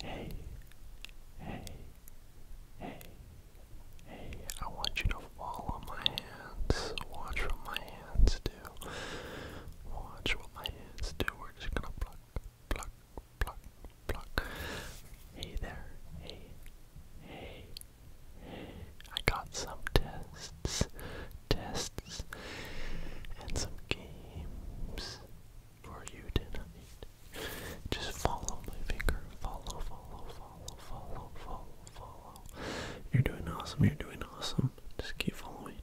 Hey, hey, hey, hey, I want you to follow my hands. Watch what my hands do. Watch what my hands do. We're just gonna pluck, pluck, pluck, pluck. Hey there, hey, hey, hey. I got some tests, tests, and some games for you tonight. Just follow my finger. Follow, follow, follow, follow, follow, follow. You're doing awesome. You're doing awesome. Just keep following.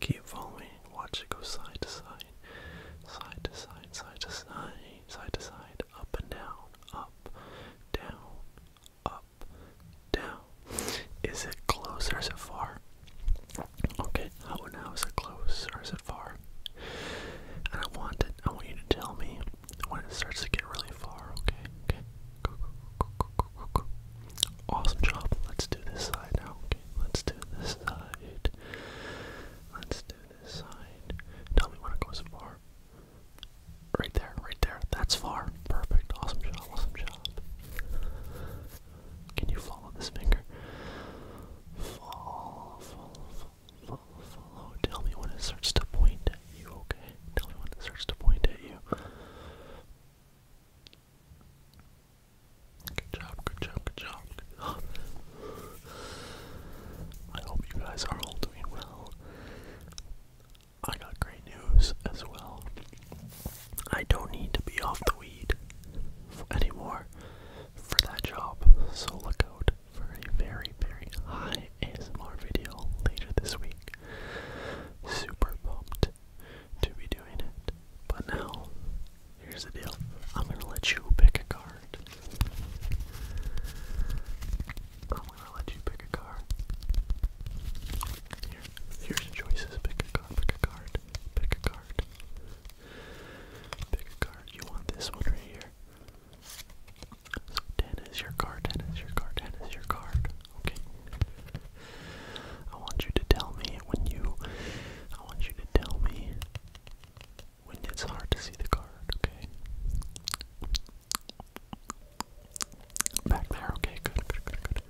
Keep following. Watch it go side to side, side to side, side to side, side to side, up and down, up, down, up, down. Is it closer or is it far? Okay, how now is it close or is it far? And I want it. I want you to tell me when it starts to get really far. Okay, okay. Awesome job. Let's do this side now. Okay, let's do this side. Let's do this side. Tell me when it goes far. Right there, right there. That's far. Perfect. Awesome job. Awesome job. Can you follow this finger? Follow, follow, follow, follow. Tell me when it starts to point at you, okay? Tell me when it starts to point at you. Good job, good job, good job, I hope you guys are all doing well. I got great news as well. I don't need to be off the weed anymore for that job. So look out for a very, very high ASMR video later this week. Super pumped to be doing it. But now, here's the deal. I'm gonna let you pick a card. I'm gonna let you pick a card. Here, here's your choices. Pick a card, pick a card card. Pick a card. Pick a card. You want this one right here. So ten is your card, ten is your card, ten is your card. Okay. I want you to tell me when you I want you to tell me when it's hard to see the card, okay? Back there, okay, good, good, good, good.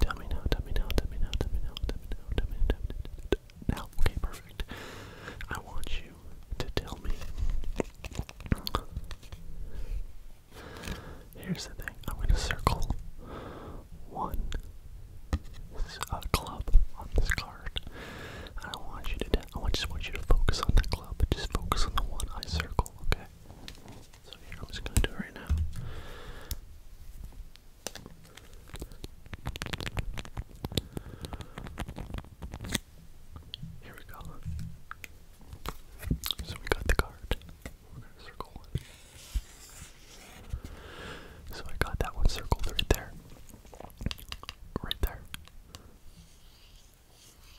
Tell me now, tell me now, tell me now, tell me now, tell me now, tell me now, now. okay, perfect. I want you to tell me. Here's the thing. I'm gonna circle one uh, club on this card. I don't want you to. I just want you to focus on the club. but Just focus on the one I circle. Okay. So here I'm just gonna do it right now. Here we go. So we got the card. We're gonna circle one. So I got that one circled right there. Right there.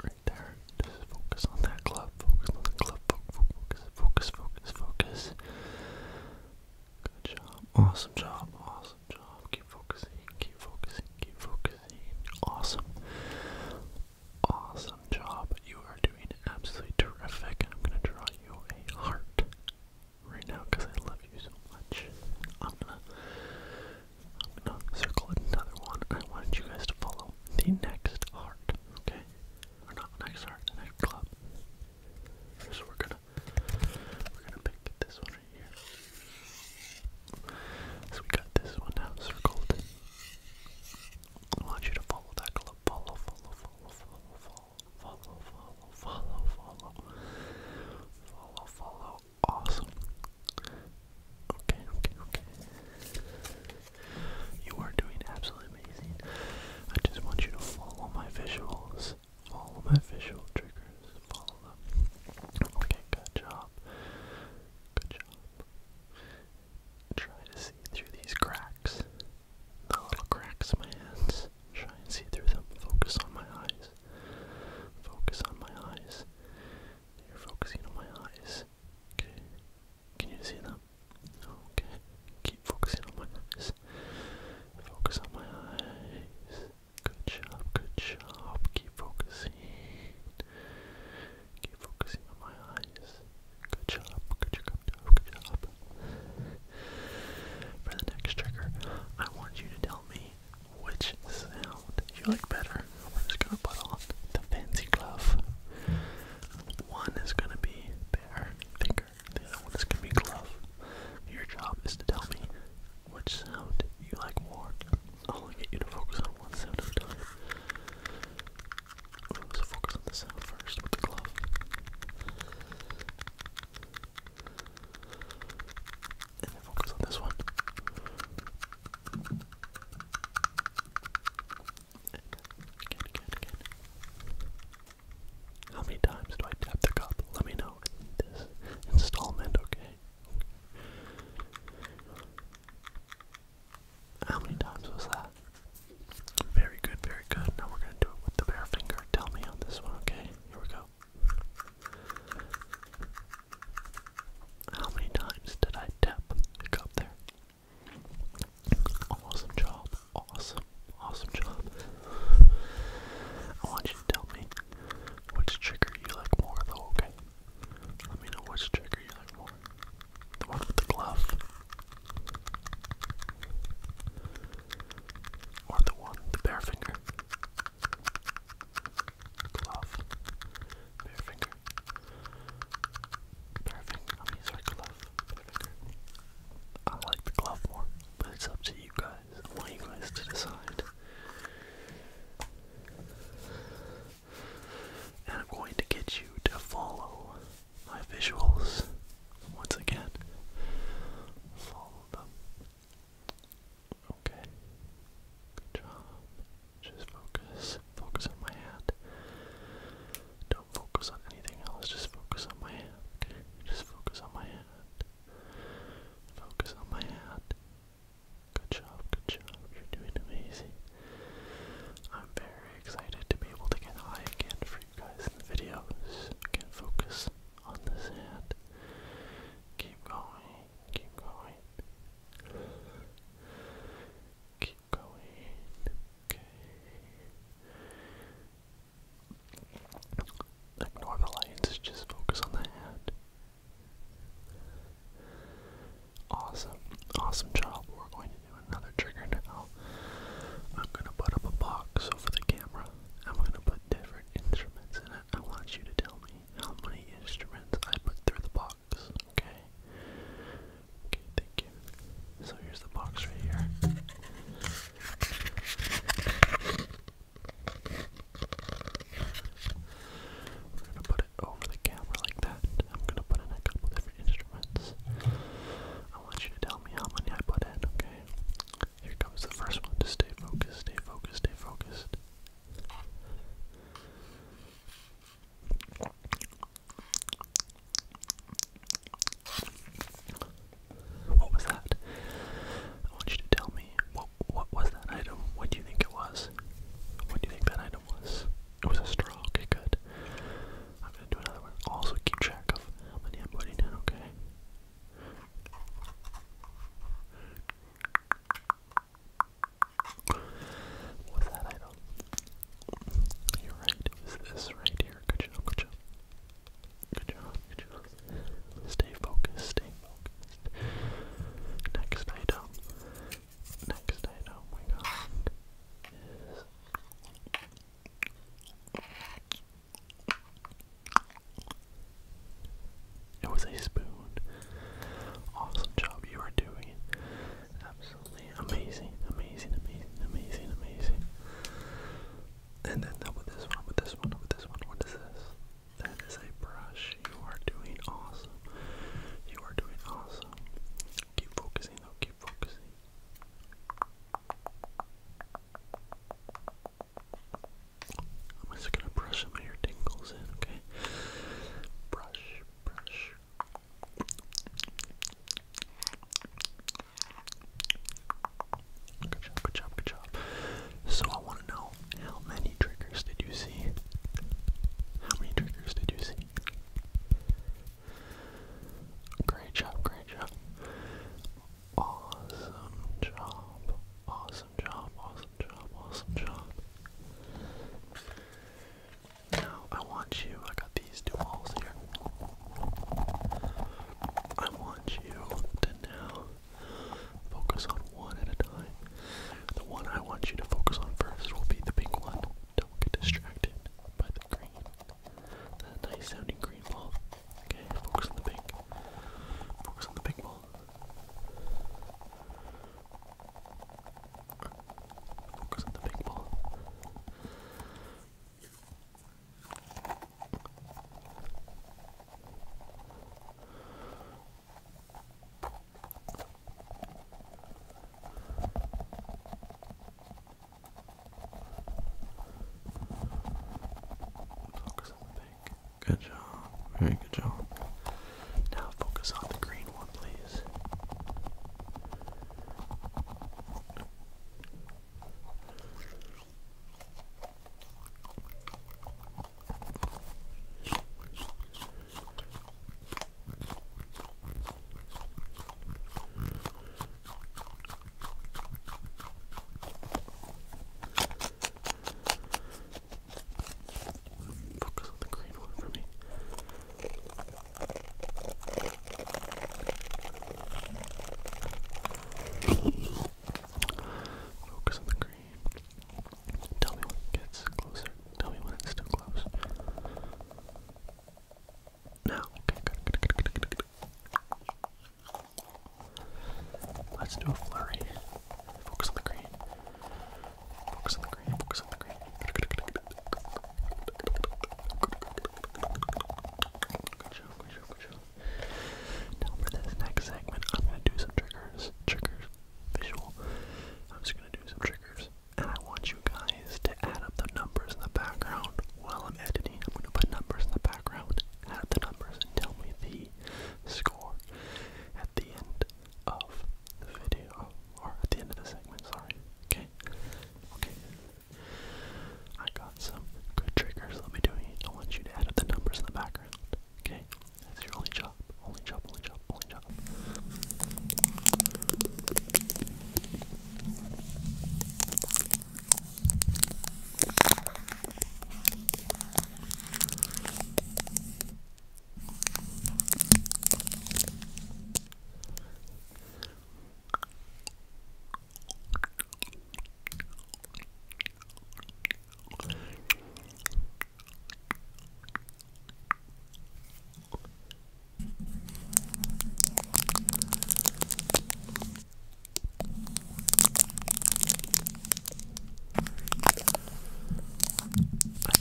Right there. Just focus on that club. Focus on the club. Focus, focus focus, focus, focus. Good job. Awesome job. Awesome job. Keep focusing. Keep focusing. Keep focusing. Awesome. Awesome job. You are doing absolutely terrific. I'm gonna draw you a heart right now because I love you so much. I'm gonna I'm gonna circle another one. I want you guys to follow the next art. Okay? or not Nice Heart, the Night Club. So we're gonna we're gonna pick this one right here. So we got this one now circled. I want you to follow that club. Follow, follow, follow, follow, follow, follow, follow, follow, follow, follow, follow. Awesome. Okay, okay, okay. You are doing absolutely amazing. I just want you to follow my visuals. Follow my visual triggers. Follow them. Okay, good job. Good job. Try to see through these cracks. The little cracks in my hands. Try and see through them. Focus on my eyes. Focus on my eyes. You're focusing on my eyes. Can you see them? Okay. Keep focusing on my eyes. Focus on my eyes. Good job, good job. Keep focusing. Keep focusing on my eyes. good job, good job, good job. For the next trigger, I want you to tell me which sound you like better. We're just gonna put on the fancy glove. One is gonna be finger. The other one is gonna be glove. Your job is to tell me which sound you like more. I'll get you to focus on one sound at a time. Let's focus on the sound first with the glove. And then focus on this one. How many times do I tap the cup? Let me know installment, okay? How many times was that? Very good, very good. Now we're gonna do it with the bare finger. Tell me on this one, okay? Here we go. How many times did I tap the cup there? Awesome job. Awesome. Awesome job. I want you to tell me which trigger you like more though, okay? Let me know which trigger you like more. The one with the glove. Or the one, the bare finger. Glove. Bare finger. Bare finger. I mean, sorry, glove. I like the glove more, but it's up to you guys. I want you guys to decide. And I'm going to get you to follow my visuals once again. Follow them. Okay. Good job. Just focus. Focus on my hand. Don't focus on anything else, just focus on my hand, Just focus on my hand. Focus on my hand. Good job, good job. You're doing amazing. I'm very excited to be able to get high again for you guys in the videos. Again, focus on this hand. Keep going, keep going. Keep going. Ignore the lights, just focus on the hand. Awesome, awesome job. We're going to do another trigger now. I'm gonna put up a box over the camera. I'm gonna put different instruments in it. I want you to tell me how many instruments I put through the box, okay? Okay, thank you. So here's the box right here. We're gonna put it over the camera like that. I'm gonna put in a couple different instruments. I want you to tell me how many I put in, okay? Here comes the first one. Just stay focused, stay focused, stay focused. What was that? I want you to tell me what what was that item? What do you think it was? What do you think that item was? It was a straw. good. I'm gonna do another one. Also keep track of how many I'm putting in. Okay. What's that item? You're right, it was this right here. Good job, good job. Good job, good job. Stay focused, stay focused. Next item. Next item we got it was a spoon. Awesome job you are doing. Absolutely amazing, amazing, amazing, amazing, amazing. And then with this one, with this one, with this one, what is this? That is a brush. You are doing awesome. You are doing awesome. Keep focusing though, focusing. I'm just gonna brush some of your tingles in, okay? Brush, brush, Good job, good job, good job. So I want to know how many triggers did you see? How many triggers did you see? Great job, great job. Awesome job. Awesome job, awesome job, awesome job. Now, I want you, I got these two walls here. I want you to now focus on one at a time. The one I want you to focus on first will be the pink one. Don't get distracted by the green. That nice sounding green ball. Okay, focus on the pink. Focus on the pink ball. Focus on the pink ball. Focus on the pink. Good job. Very good job. Now focus on the green one, please. Focus on the green one for me. Focus on the green. Tell me when it gets closer. Tell me when it's too close. Now, okay, good, good, good, good, good, good. Let's do a flurry. Focus on the green. Focus on the green. Focus on the green. Good, good, good, good, good, good, good, good, good, good, good, now for this next segment, I'm gonna do some triggers. Triggers, visual. I'm just gonna do some triggers, and I want you guys to add up the numbers in the background while I'm editing. I'm gonna put numbers in the background. Add the numbers and tell me the score at the end of the video, or at the end of the segment. Sorry. Okay. Okay. I got some good triggers Let me do it. doing. I want you to edit the numbers in the background. Okay? That's your only job. Only job, only job, only job. I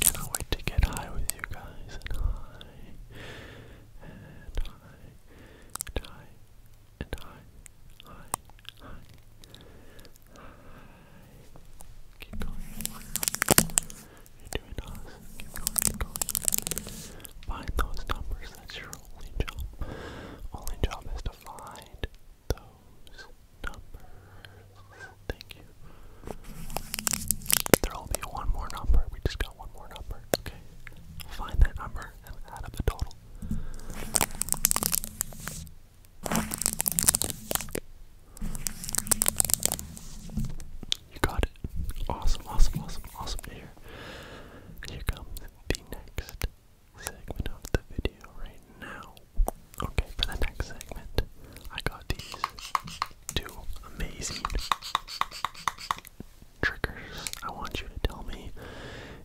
cannot wait to get high with you guys and high and high and high, and high, high, high, Keep going. You're doing awesome. keep going. Find those numbers. That's your only job. Only job is to find those numbers. Thank you. There'll be one more number. We just got one more number. Okay, find that number and add up the total. You got it. Awesome, awesome, awesome, awesome to Here comes the next segment of the video right now. Okay, for the next segment, I got these two amazing triggers. I want you to tell me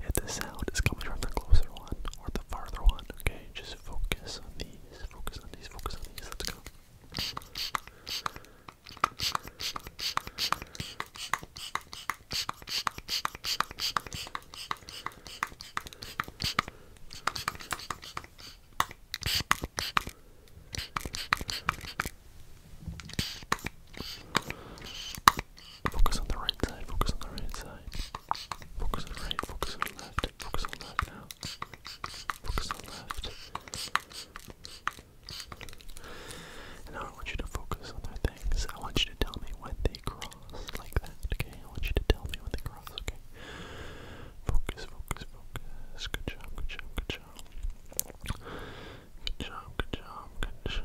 if the sound is coming from the closer one or the farther one. Okay, just focus on these, focus on these, focus on these. Let's go. Focus on the right side, focus on the right side. Focus on right, focus on left, focus on left now. Focus on left. And now I want you to focus on their things. I want you to tell me when they cross like that, okay? I want you to tell me when they cross, okay? Focus, focus, focus. Good job, good job, good job. Good job, good job, good job.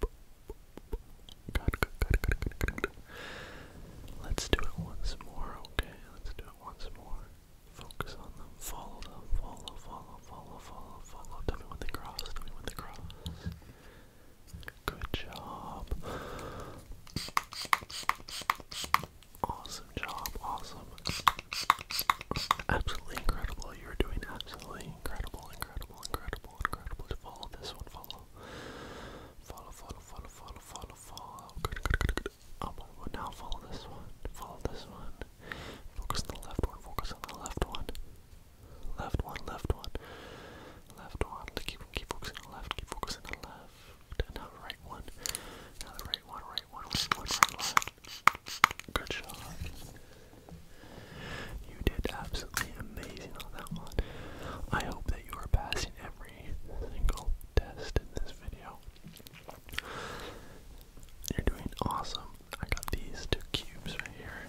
Good, good, good, good, good, good, Let's do it once more, okay? Let's do it once more. Focus on them. Follow them. Follow, follow, follow, follow, follow. Tell me when they cross. Tell me when they cross. Good job. Awesome job. Awesome, Absolutely incredible. You are doing absolutely incredible, incredible, incredible, incredible. To follow this one, follow. Follow, follow, follow, follow, follow, follow. Good, good, good, good. Oh now follow this one. Follow this one. Focus on the left one. Focus on the left one. Left one, left one. Left one. Keep, keep focusing on the left. Keep focusing on the left. now the right one. Now the right, one right, one right, one line. Good shot. You did absolutely amazing on that one. I hope that you are passing every single test in this video. You're doing awesome. I got these two cubes right here.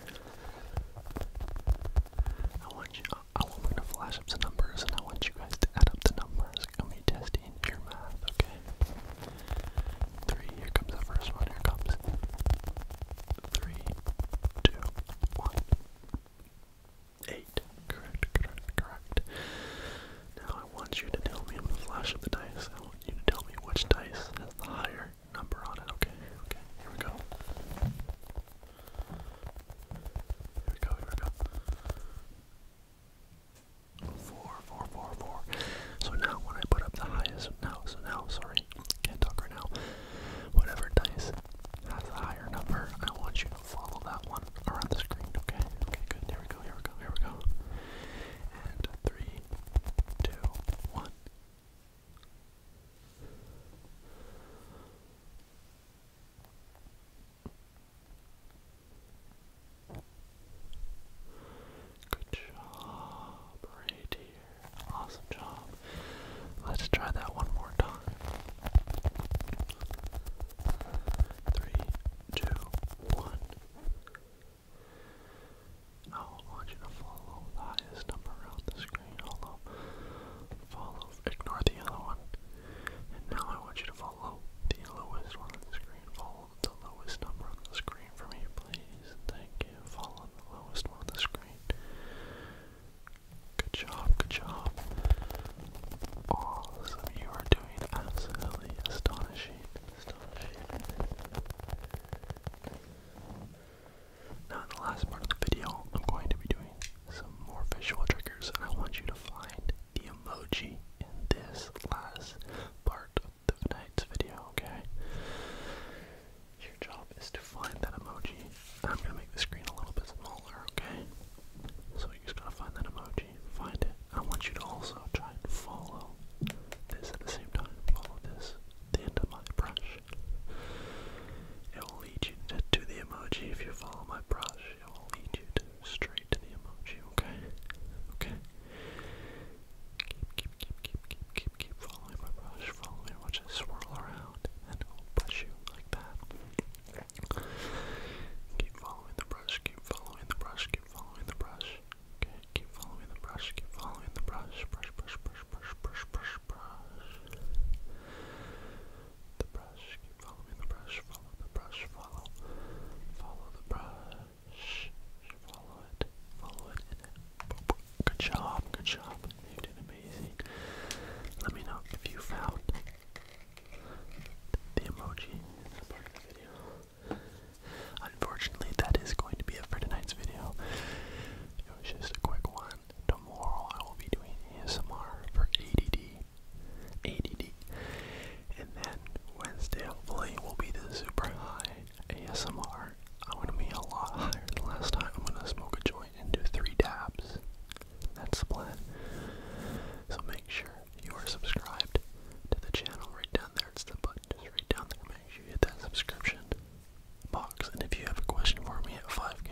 I want you. I want me to flash up numbers, and I want you guys to add up the numbers. How many tests in your mouth, okay? Three, here comes the first one, here comes. Three, two, one. Eight. Correct, correct, correct. Now I want you to tell me, I'm flash up the dice, I want you to tell me which dice has the higher number on it, okay? Okay, here we go. Here we go, here we go four, four, four, four. So now when I put up the highest, now, so now, sorry, can't talk right now. Whatever dice has a higher number, I want you to follow that one around the screen, okay? Okay, good, here we go, here we go, here we go. And three, two, one. Good job, right here. Awesome job. Let's try that one more time. Three, two, one. Now oh, I want you to follow the highest number around the screen. Follow, ignore the yellow one. And now I want you to follow the lowest one on the screen. Follow the lowest number on the screen for me, please. Thank you. Follow the lowest one on the screen. Good job, good job. Awesome. You are doing absolutely astonishing. Astonishing. Now, in the last part of the video, I'm going to be doing some more visual triggers, and I want you to find the emoji in this last part of tonight's video, okay? Your job is to find that emoji. I'm gonna make the screen a little bit smaller, okay? So you just gotta find that emoji, find it. I want you to also try and follow this at the same time. Follow this, the end of my brush. It will lead you to, to the emoji if you follow my brush. It will lead you to straight to the emoji, okay? Okay. Keep, keep, keep, keep, keep, keep following my brush, following, watch it swirl around, and it will push you like that. Keep following the brush, keep following the brush, keep following the brush. Okay, keep following the brush, keep following the brush, brush, brush, brush, brush, brush, brush, brush. The brush, keep following the brush, follow the brush, follow, follow the brush. Follow it. Follow it. good job. Good job. You did amazing. Let me know if you found the emoji Unfortunately, that is going to be it for tonight's video. It was just a quick one. Tomorrow I will be doing ASMR for ADD. ADD. And then Wednesday, hopefully, will be the super high ASMR, i want to be a lot higher than last time. I'm gonna smoke a joint and do three dabs. That's the plan. So make sure you are subscribed to the channel right down there. It's the button just right down there. Make sure you hit that subscription box. And if you have a question for me at 5k,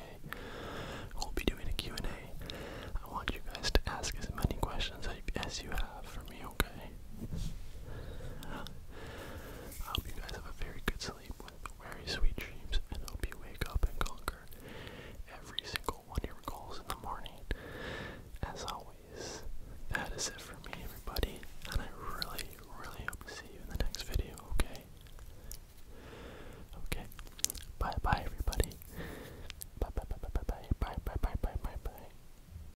we'll be doing a Q&A. I want you guys to ask as many questions as you have for me okay. I hope you guys have a very good sleep with very sweet dreams and hope you wake up and conquer every single one of your goals in the morning. As always, that is it for me, everybody, and I really, really hope to see you in the next video, okay? Okay. Bye bye, everybody. Bye bye bye bye bye bye bye bye bye bye bye.